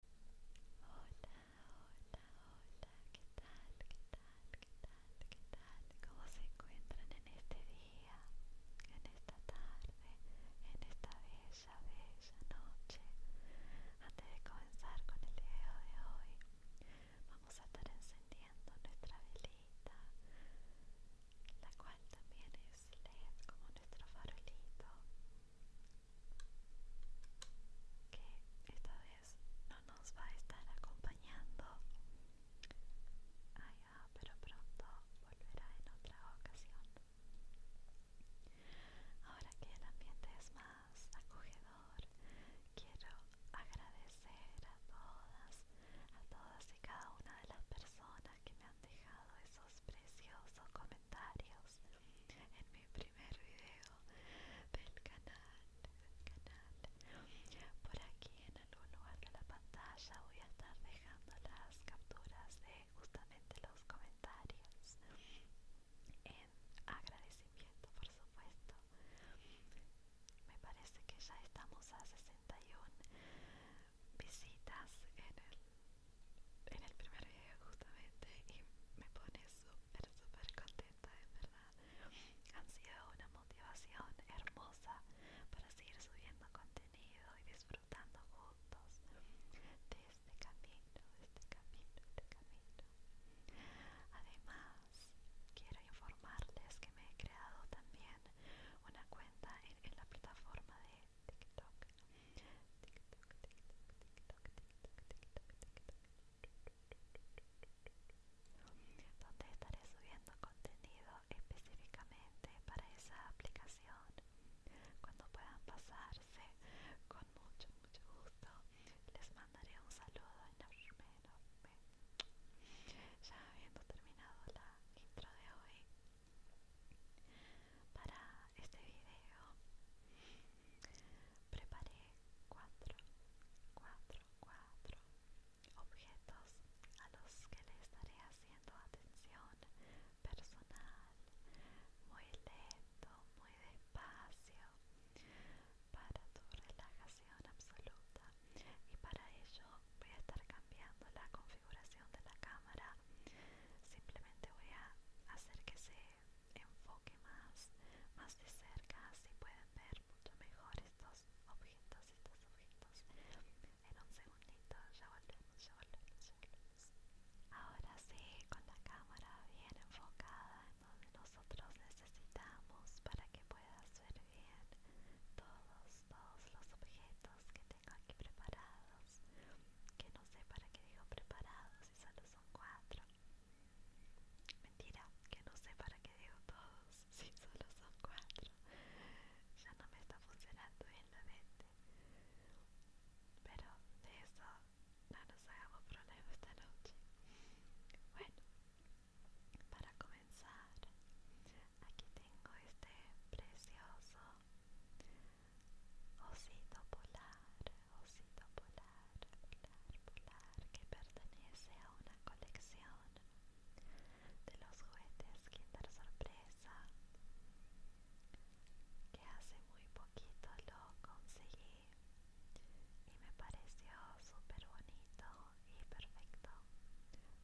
hola, hola, hola, ¿qué tal? ¿Qué tal? ¿Qué tal? ¿Qué tal? ¿Cómo se encuentran en este día? En esta tarde, en esta bella, bella noche. Antes de comenzar con el video de hoy, vamos a estar encendiendo nuestra velita, la cual también es LED como nuestro farolito que esta vez no nos va a estar acompañando. pero pronto volverá en otra ocasión. Ahora que el ambiente es más acogedor, quiero agradecer a todas, a todas y cada una de las personas que me han dejado esos preciosos comentarios en mi primer video del canal, canal. Por aquí en algún lugar de la pantalla voy a estar dejando las capturas de justamente los comentarios en agradecimiento, por supuesto. Me parece que ya estamos a 61 visitas en el en el primer video justamente y me pone súper, súper contenta, de verdad. Han sido una motivación hermosa para seguir subiendo contenido y disfrutando juntos de este camino, de este camino, de este camino. Además, quiero informarles que me he creado también una cuenta en la plataforma de TikTok, donde estaré subiendo contenido específicamente para esa aplicación. Cuando puedan pasarse, con mucho, mucho gusto, les mandaré un saludo enorme, enorme. Ya habiendo terminado la intro de hoy, para este video preparé cuatro, cuatro, cuatro objetos a los que le estaré haciendo atención personal muy lento, muy despacio para tu relajación absoluta y para ello voy a estar cambiando la configuración de la cámara simplemente voy a hacer que se enfoque más, más de cerca, así pueden ver mucho mejor estos objetos, estos objetos. En un segundito, ya volvemos, ya volvemos, Ahora sí, con la cámara bien enfocada en donde nosotros necesitamos para que puedas ver bien todos, todos los objetos que tengo aquí preparados que no sé para qué digo preparados si solo son cuatro mentira que no sé para qué digo todos si solo son cuatro ya no me está funcionando bien la mente pero de eso no nos hagamos problema esta noche bueno para comenzar aquí tengo este precioso Osito polar, osito polar, polar, polar, que pertenece a una colección de los juguetes Kinder Sorpresa, que hace muy poquito lo conseguí y me pareció súper bonito y perfecto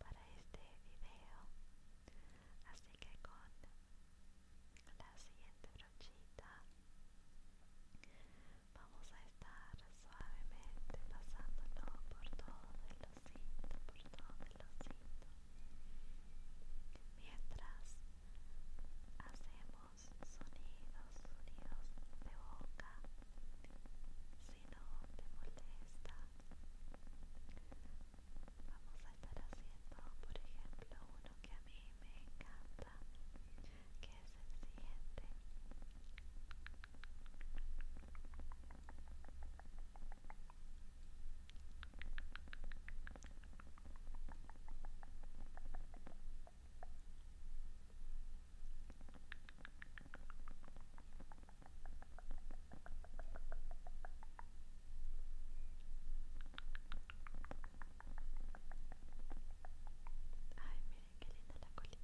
para este video así que con la siguiente brochita vamos a estar suavemente pasándolo por todo el osito por todo el mientras hacemos sonidos sonidos de boca si no te molesta Vamos a estar haciendo, por ejemplo, uno que a mí me encanta, que es el siguiente. Ay, miren qué linda la colita.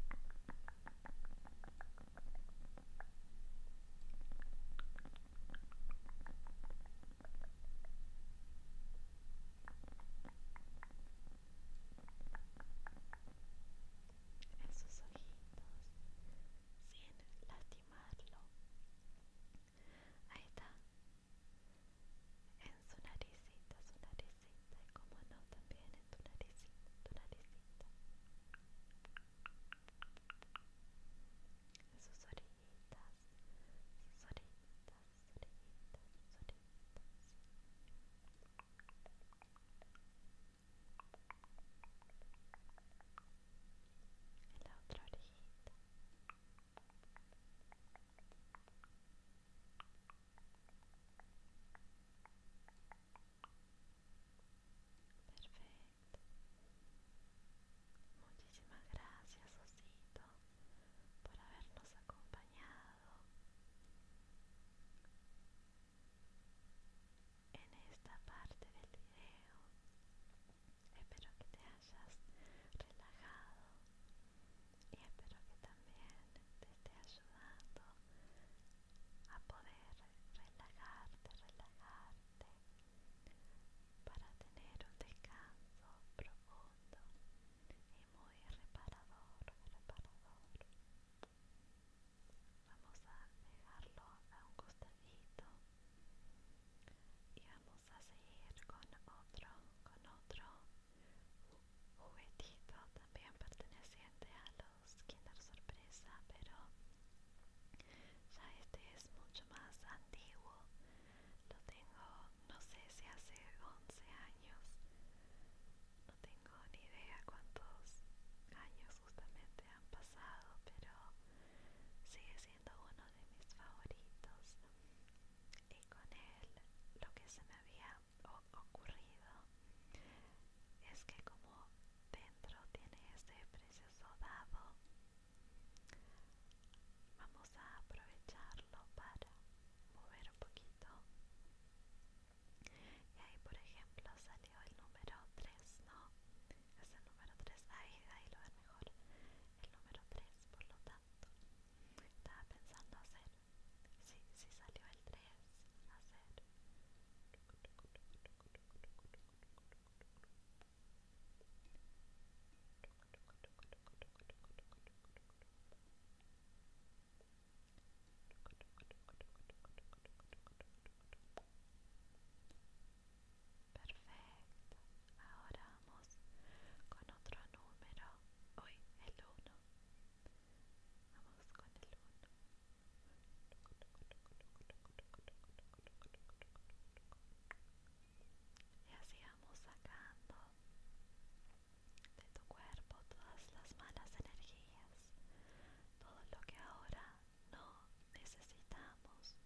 Esos ojitos sin lastimarlo. Ahí está. En su naricita, su naricita. Y como no, también en tu naricita, tu naricita. En sus orillitas, sus orejitas sus sus en la otra orejita perfecto muchísimas gracias osito por habernos acompañado en esta parte del video. Espero que te hayas relajado y espero que también te esté ayudando a poder relajarte, relajarte para tener un descanso profundo y muy reparador, reparador vamos a dejarlo a un costadito y vamos a seguir con otro con otro juguetito también perteneciente a los Kinder Sorpresa pero ya este es mucho más antiguo lo tengo no sé si hace 11 años no tengo ni idea cuántos años justamente pasado, pero sigue siendo uno de mis favoritos. Y con él lo que se me había ocurrido es que como dentro tiene este precioso dado, vamos a aprovecharlo para mover un poquito y ahí, por ejemplo, salió el número 3, ¿no? Es el número 3, ahí, ahí lo ven mejor. El número 3, por lo tanto, estaba pensando hacer. Si, sí salió el 3, hacer. Perfecto. Ahora vamos con otro número. Hoy el uno Vamos con el 1. Y así vamos sacando de tu cuerpo todas las malas energías, todo lo que ahora no necesitamos.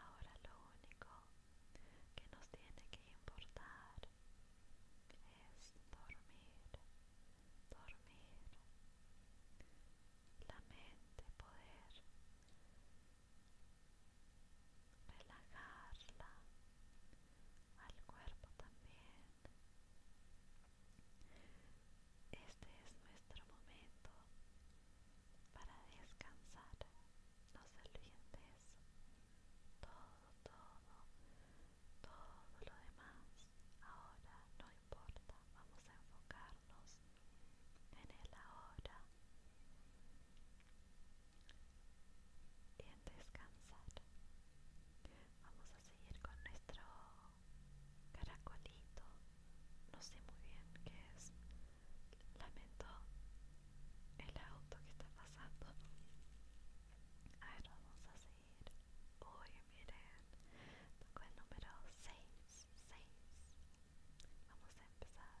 Ahora lo único que nos tiene que importar es dormir, dormir. La mente poder relajarla, al cuerpo también. Este es nuestro momento para descansar. No se Todo, todo, todo lo demás ahora no importa. Vamos a enfocarnos en el ahora y en descansar. Vamos a seguir con nuestro caracolito, no sé muy bien qué es. Lamento el auto que está pasando. A ver, vamos a seguir. Hoy miren, tocó el número 6, 6. Vamos a empezar.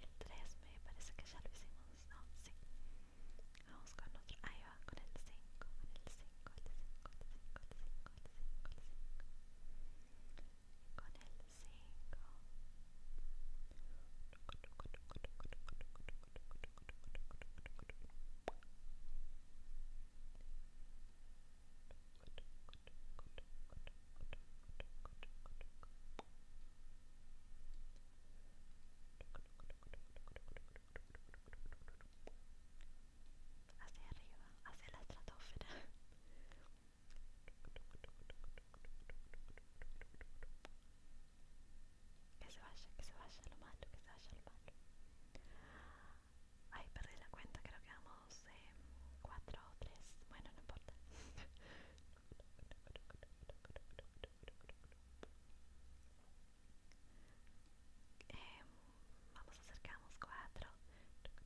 Entusiasme parece callarme sin voz. No, sí. Vamos con otro. Ahí va, con el 5, con el 5, el hacia arriba, hacia la estratosfera. Que se vaya, que se vaya lo malo, que se vaya lo malo. Ay, perdí la cuenta, creo que vamos eh, cuatro o tres. Bueno, no importa vamos a acercamos cuatro. Fuera,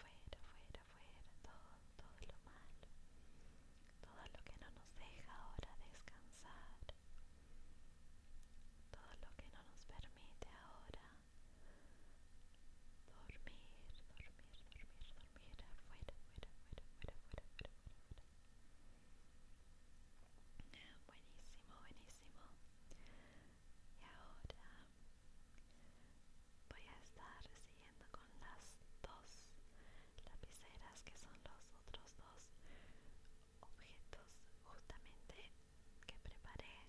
fuera, fuera, todo, todo lo malo, todo lo que no nos deja ahora descansar, todo lo que no nos permite ahora dormir, dormir, dormir, dormir, afuera, afuera, afuera, afuera, afuera, afuera, afuera. Buenísimo, buenísimo. Y ahora voy a estar siguiendo con las dos lapiceras que son los otros dos objetos justamente que preparé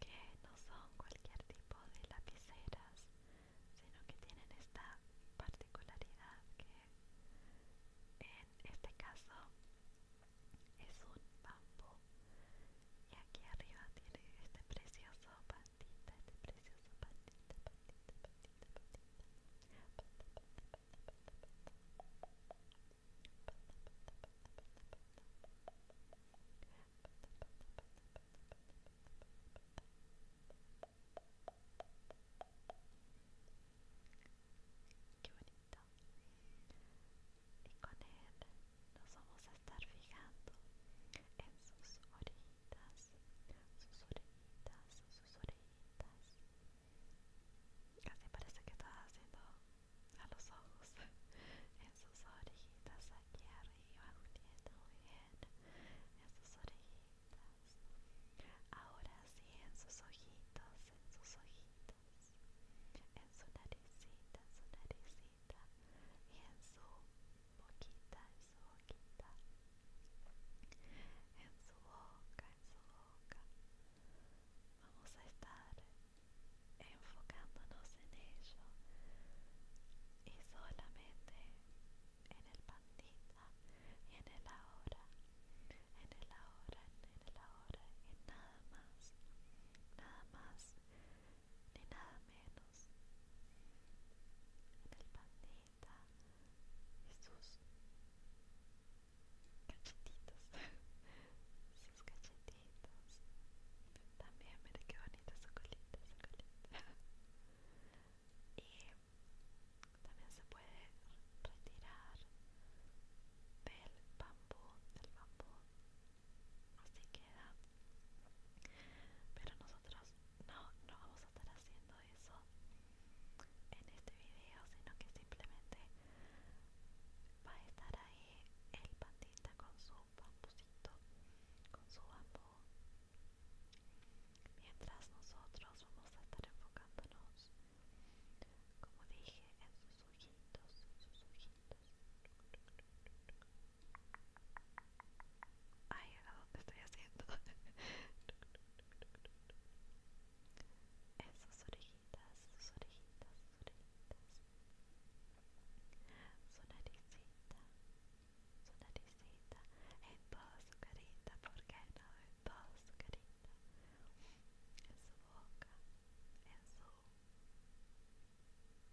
que no son cualquier tipo de lapiceras sino que tienen esta particularidad que en este caso es un bambú y aquí arriba tiene este precioso pandita, este precioso pandita, pandita, pandita, Qué bonito. Y con él nos vamos a estar fijando en sus orejitas, sus orejitas, sus orejitas. Casi parece que estaba haciendo a los ojos en sus orejitas aquí arriba, Uniendo En sus orejitas. Ahora sí, en sus ojitos, en sus ojitos. En su naricita, en su naricita. Y en su boquita, en su boquita en su boca, en su boca. Vamos a estar enfocándonos en ello y solamente en el pandita y en el ahora, en el ahora, en el ahora, Y nada más, nada más ni nada menos. En el pandita y sus cachetitos sus cachetitos también mire que bonita su colita su y también se puede retirar del bambú del bambú así queda pero nosotros no no vamos a estar haciendo eso en este video, sino que simplemente va a estar ahí el pandita con su bambucito, con su bambú, mientras nosotros vamos a estar enfocándonos, como dije, en sus ojitos, sus ojitos. Ay, ¿a dónde estoy haciendo? sus orejitas, sus orejitas, sus orejitas. Su naricita, su naricita. En todo su carita, ¿por qué no? En todo su carita. En su boca, en su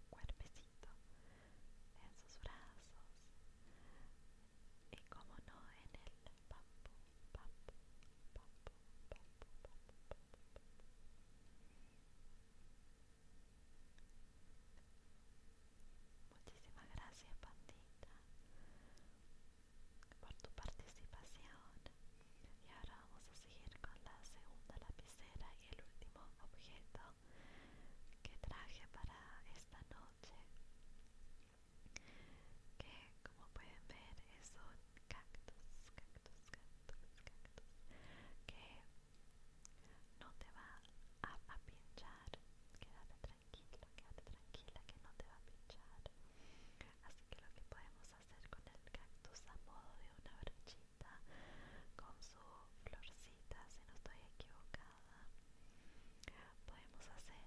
cuerpecito, en sus brazos. Y como no, en el bambú. Muchísimas gracias, pandita, por tu participación. Y ahora vamos a seguir con la segunda lapicera y el último objeto que traje para esta noche que como pueden ver es un cactus, cactus, cactus, cactus que no te va a, pinchar, quédate tranquilo, quédate tranquila que no te va a pinchar así que lo que podemos hacer con el cactus a modo de una brochita con su florcita si no estoy equivocada podemos hacer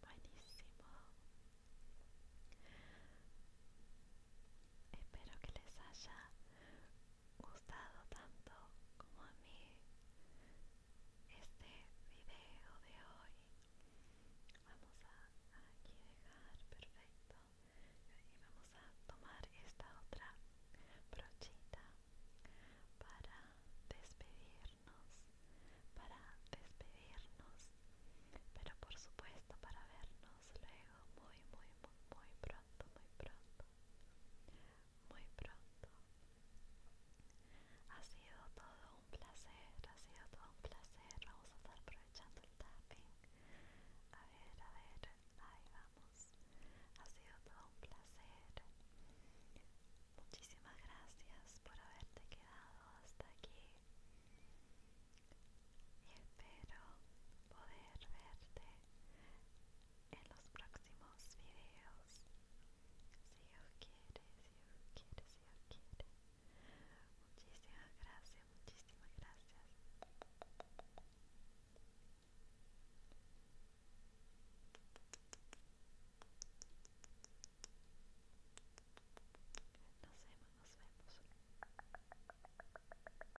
Buenísimo. Espero que les haya gustado tanto como a mí este video de hoy vamos a aquí dejar perfecto y vamos a tomar esta otra brochita para despedirnos para despedirnos pero por supuesto para vernos luego muy muy muy muy pronto muy pronto muy pronto ha sido todo un placer ha sido todo un placer vamos a estar aprovechando el tapping a ver a ver ahí vamos ha sido todo un placer muchísimas gracias por haberte quedado hasta aquí y espero poder verte en los próximos videos. Si Dios quiere, si Dios quiere, si Dios quiere. Muchísimas gracias, muchísimas gracias. Nos vemos, nos vemos.